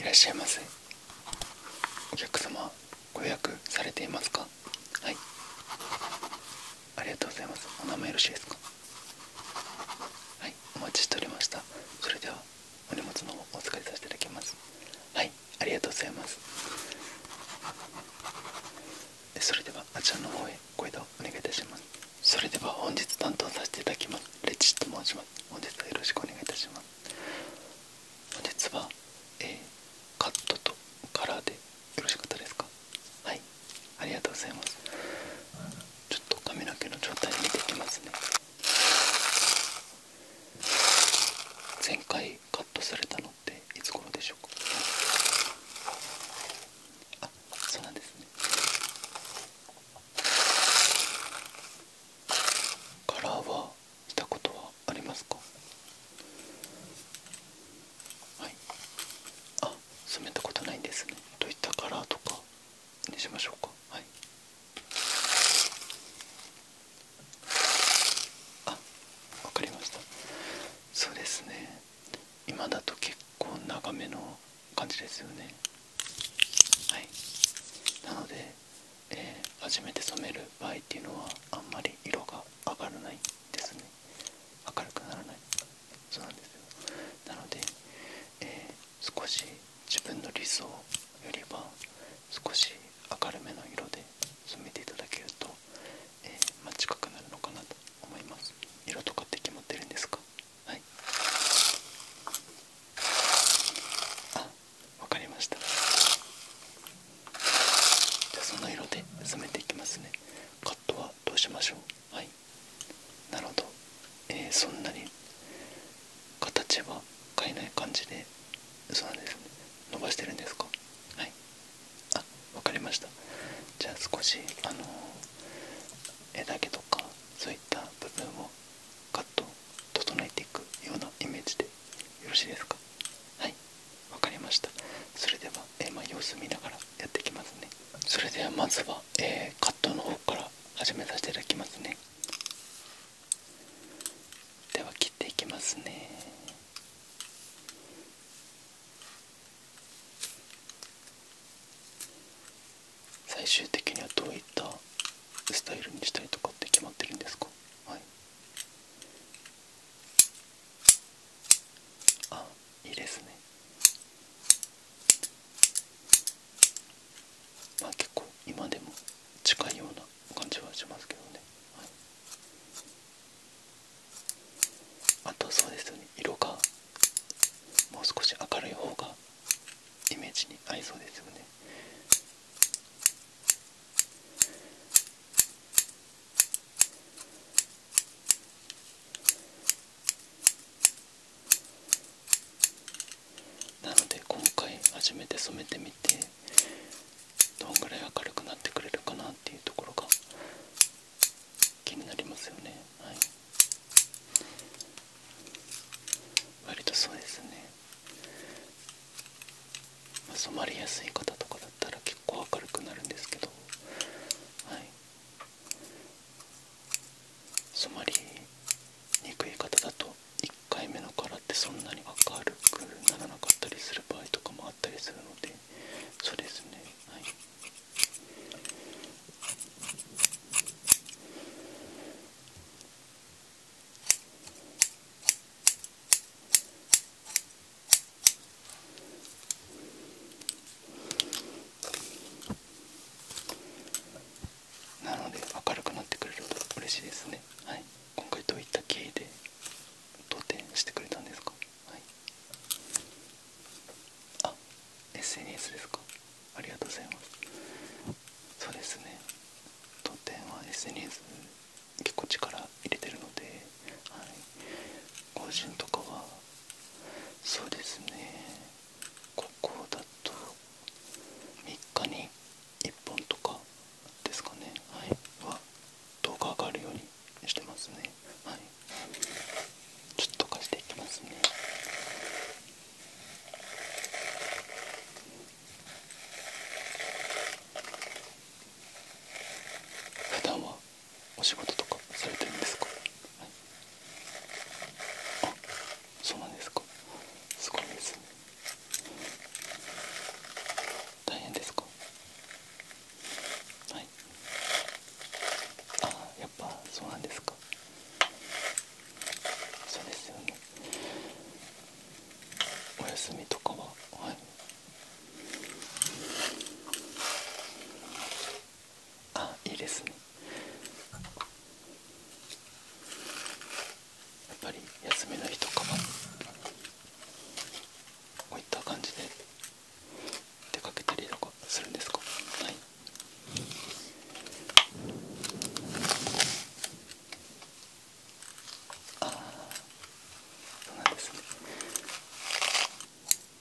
いらっしゃいませお客様ご予約されていますかはいありがとうございますお名前よろしいですかはいお待ちしておりましたそれではお荷物の方お預かりさせていただきますはいありがとうございますそれではあちらの方へご移動お願いいたしますそれでは本日担当させていただきますレチと申します本日はよろしくお願いいたします本日は、えカットとカラーでよろしかったですかはいありがとうございますちょっと髪の毛の状態見ていきますね前回カットされたのっていつ頃でしょうかあそうなんですねカラーは見たことはありますかはいあ染めたことないんですねどいったカラーとかにしましょうかはいあわかりましたそうですね今だと結構長めの感じですよねはいなので、えー、初めて染める場合っていうのはあんまり色が上がらないですね明るくならないそうなんですよなので、えー、少し自分の理想よりは少し明るめの色で染めていただけると、えーまあ、近くなるのかなと思います色とかって決まってるんですかはいあわかりましたじゃあその色で染めていきますねカットはどうしましょうはいなるほど、えー、そんなに形は変えない感じでそうなんです伸ばしてるんですかはいあわかりましたじゃあ少しあの枝毛とかそういった部分をカット整えていくようなイメージでよろしいですかはいわかりましたそれではえー、まあ、様子見ながらやってきますねそれではまずは、えー、カットの方から始めさせていただきますねでは切っていきますね最終的にはどういったスタイルにしたりとかって決まってるんですかはいあいいですね、まあ、結構今でも近いような感じはしますけどね、はい、あとそうですよね色がもう少し明るい方がイメージに合いそうですよねなので今回初めて染めてみてどんぐらい明るくなってくれるかなっていうところが気になりますよねはい割とそうですね、まあ、染まりやすい方とかだったら結構明るくなるんですけどはい染まりにくい方だと1回目のカラーってそんなに明るくならなかったりする場合とかもあったりするのでそうですねはいなので明るくなってくれると嬉しいですねはい今回どういった経緯で当店してくれたんですかはいあ SNS ですかありがとうございますそうですね当店は SNS 結構力入れてるので、はい、個人とかはそうですねここだと3日に1本とかですかねはいは動画上がるようにしてますねはいちょっと貸していきますね普段はお仕事とかされてるんですか、はい、あそうなんですかすごいです大変ですかはいあやっぱそうなんですかそうですよねお休みとかははいあいいですねやっぱり休みの日とかもこういった感じで出かけたりとかするんですかはいああそうなんですね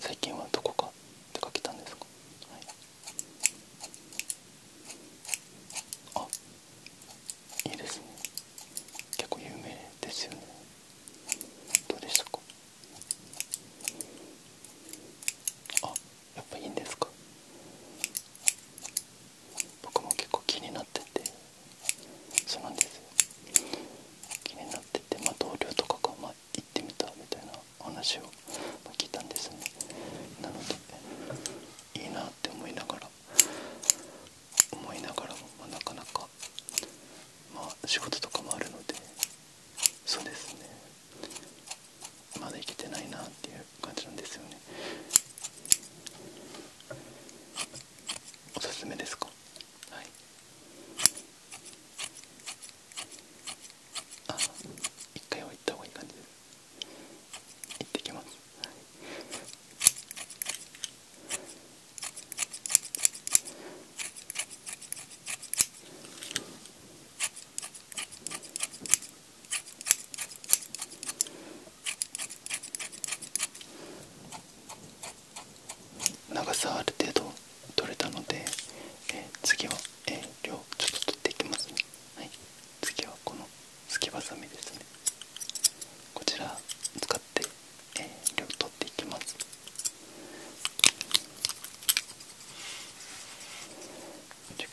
最近はどこか出かけたんですか、はい、あいいですね結構有名ですよねどうでしたかあやっぱいいんですか僕も結構気になっててそうなんですよ気になってて、まあ、同僚とかが、まあ、行ってみたみたいな話を、まあ、聞いたんですねなのでいいなって思いながら思いながらも、まあ、なかなか、まあ、仕事とかもあるのでそうですねまだいけてないなっていう感じなんですよねおすすめですかはいあ一回は行った方がいい感じで行ってきます、はい長さある程度取れたので、次は、えー、量ちょっと取っていきますねはい次はこのすきばさみですねこちら使って、えー、量取っていきます取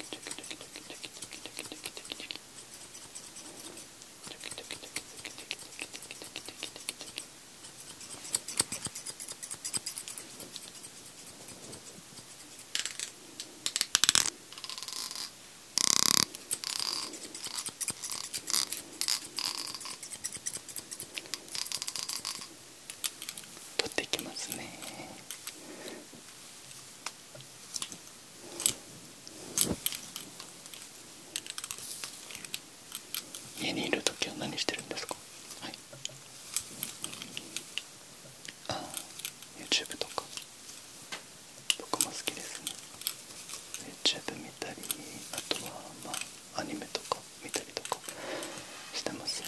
っていきますね。家にいる時は何してるんですかはいああ YouTube とか僕も好きですね y o u t u 見たりあとはまあアニメとか見たりとかしてますね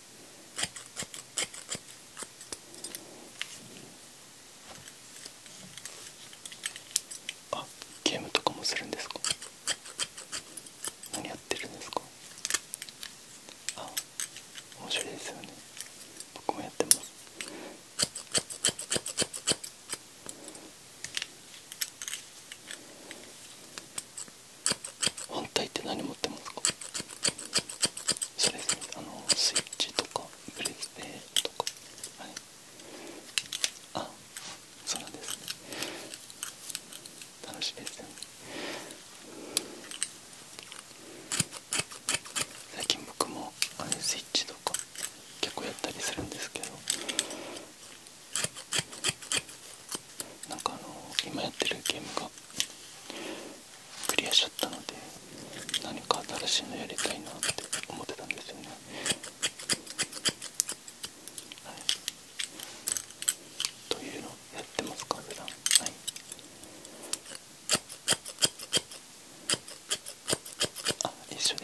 あゲームとかもするんですか何やってるんですかあ面白いですよね僕もやってます反対って何持ってますかそれあのスイッチとかブレステとかはいあそうなんですね楽しいですよね最近僕もあれスイッチとか結構やったりするんですけどなんかあの今やってるゲームがクリアしちゃったので何か新しいのやりたいなって思ってたんですよね、はい、というのやってますか普段はいあ一緒ですはい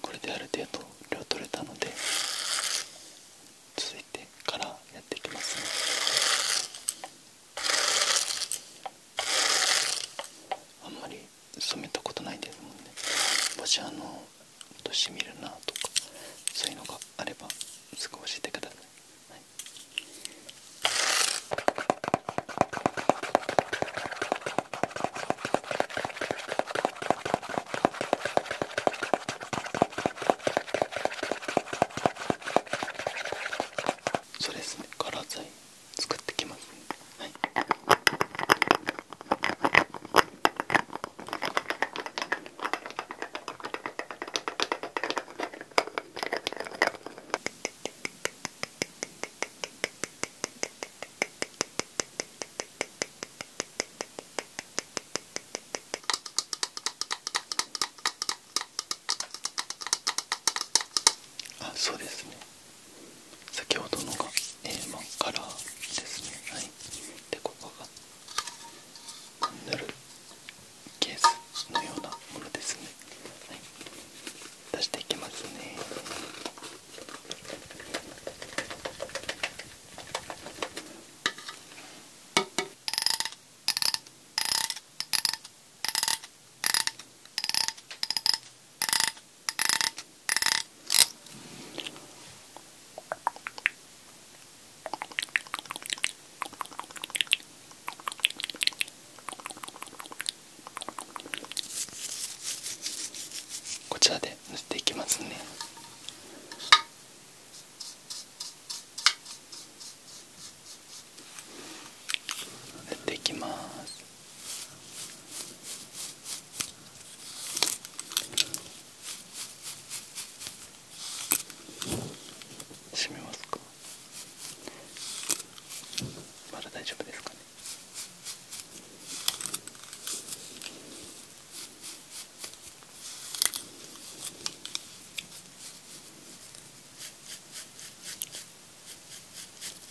これである程度量取れたので続いてからやっていきます、ね、あんまり染めたことないですもんねもしあのしみるなとかそういうのがあればすぐ教えてください、そうですねカラー剤作ってきます、はい、あそうですね先ほどのが、えーカラーですねはいでここが塗るケースのようなものですね出していきますねはいこちらで塗っていきますね。塗っていきます閉めますかまだ大丈夫ですかね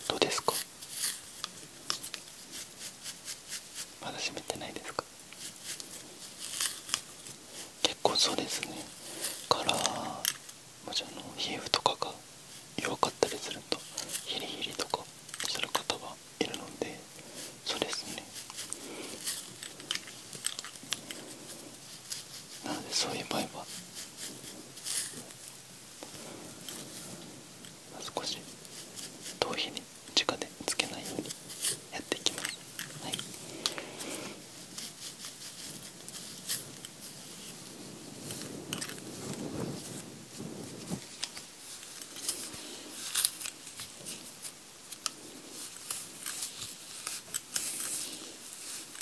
どうですかまだ閉めてないですか結構そうですねからもちろん皮膚とかが弱かったりするとヒリヒリとかする方はいるのでそうですねなのでそういう場合は少し頭皮に直でつけないようにやっていきますはい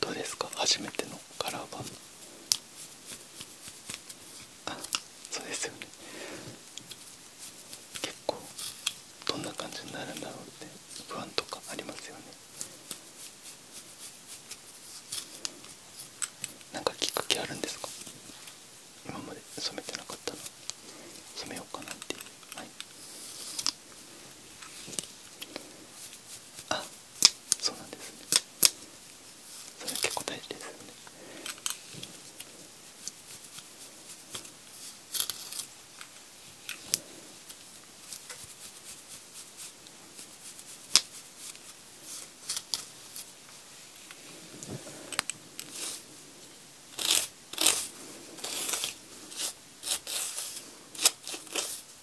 どうですか初めてののカラー版あそうですよね結構どんな感じになるんだろうって不安とかありますよねなんかきっかけあるんですか今まで染めてなかったの染めようかなっていうはいあそうなんですねそれは結構大ですよねこ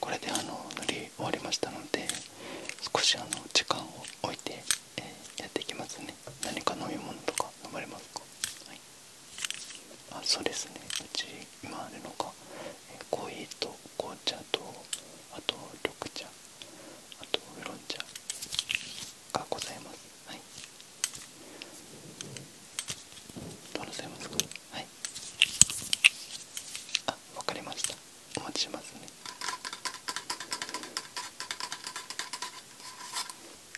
これであの塗り終わりましたので少しあの時間を置いて、えやっていきますね何か飲み物とか飲まれますか、はい、あそうですねうち今あるのが、えコーヒーと紅茶とあと緑茶あとウロン茶がございますはいどうなさいますかはいあわかりましたお待ちしますね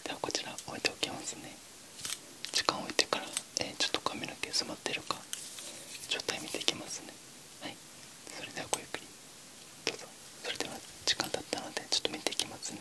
ではこちら置いておきますね時間置いてから、えちょっと髪の毛染まってるか状態見ていきますねはいそれではごゆっくりどうぞそれでは時間だったのでちょっと見ていきますね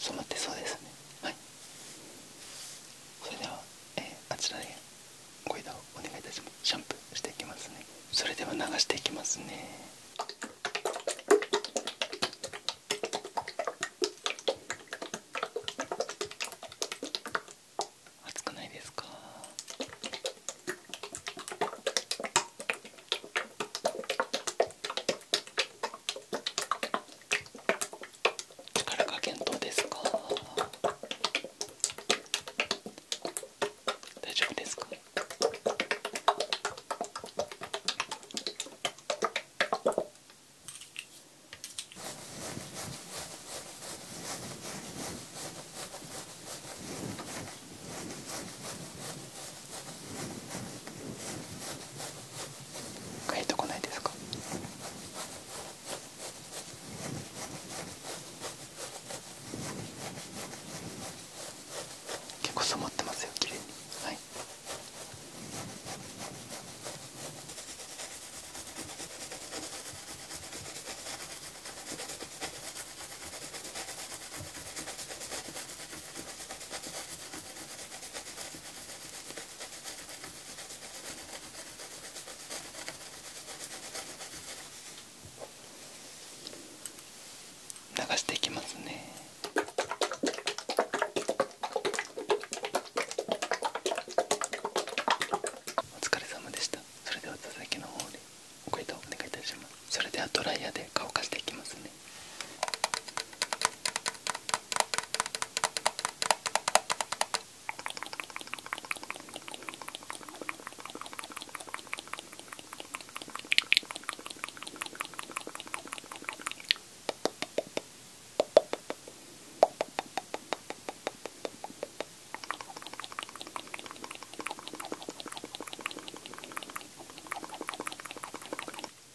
染まってそうですねはいそれでは、えー、あちらでご移動お願いいたしますシャンプーしていきますねそれでは流していきますね熱くないですか力加減どうですか大丈夫ですか帰ってこないですか結構染まってますよ綺麗にはい流していきますね。お疲れ様でした。それでは続きの方で。ご移動お願いいたしますそれではドライヤーで乾かしていきますね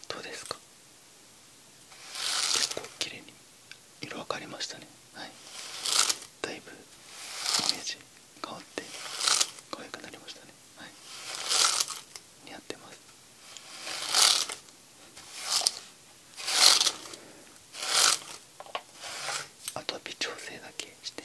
どうですか結構綺麗に色分かりましたねはいだいぶイメージ変わって可愛くなりましたね似合ってますあは微調整だけして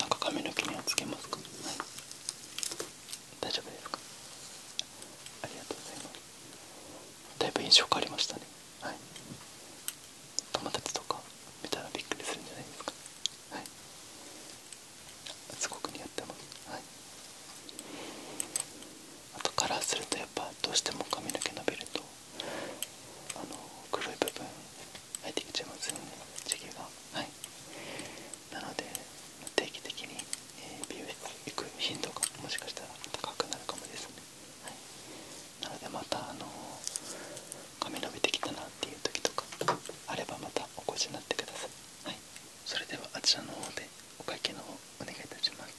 なんか髪の毛にはつけますか、大丈夫ですかありがとうございますだいぶ印象変わりましたね友達とか見たらびっくりするんじゃないですかはいすごく似合ってますはいあとカラーするとやっぱどうしても髪の毛伸びるとあの黒い部分入ってきちゃいますよねがはいなので定期的に美容室行く頻度がもしかしたら高くなるかもですね、はい、なのでまたあの髪伸びてきたなっていう時とかあればまたお越しになってください、はい、それではあちらの方でお会計の方お願いいたします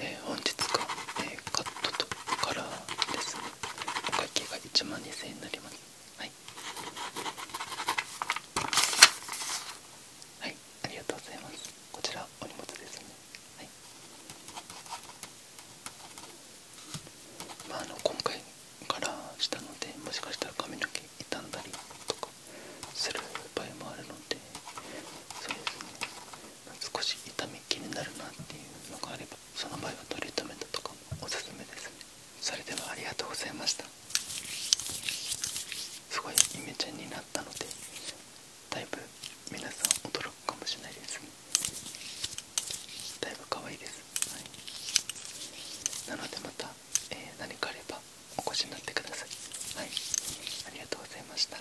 え本日が、えカットとカラーですねお会計が1万2000円になりますはいはいありがとうございますこちらお荷物ですねはいまああの今回カラーしたのでもしかしたら髪の毛傷んだりとかする場合もあるのでそうですね少し痛み気になるなっていうのがあればその場合はトリートメントとかもおすすめですそれではありがとうございましたすごいイメチェンになったのでだいぶ皆さん驚くかもしれないですねだいぶ可愛いです、はい、なのでまた、えー、何かあればお越しになってくださいはいありがとうございました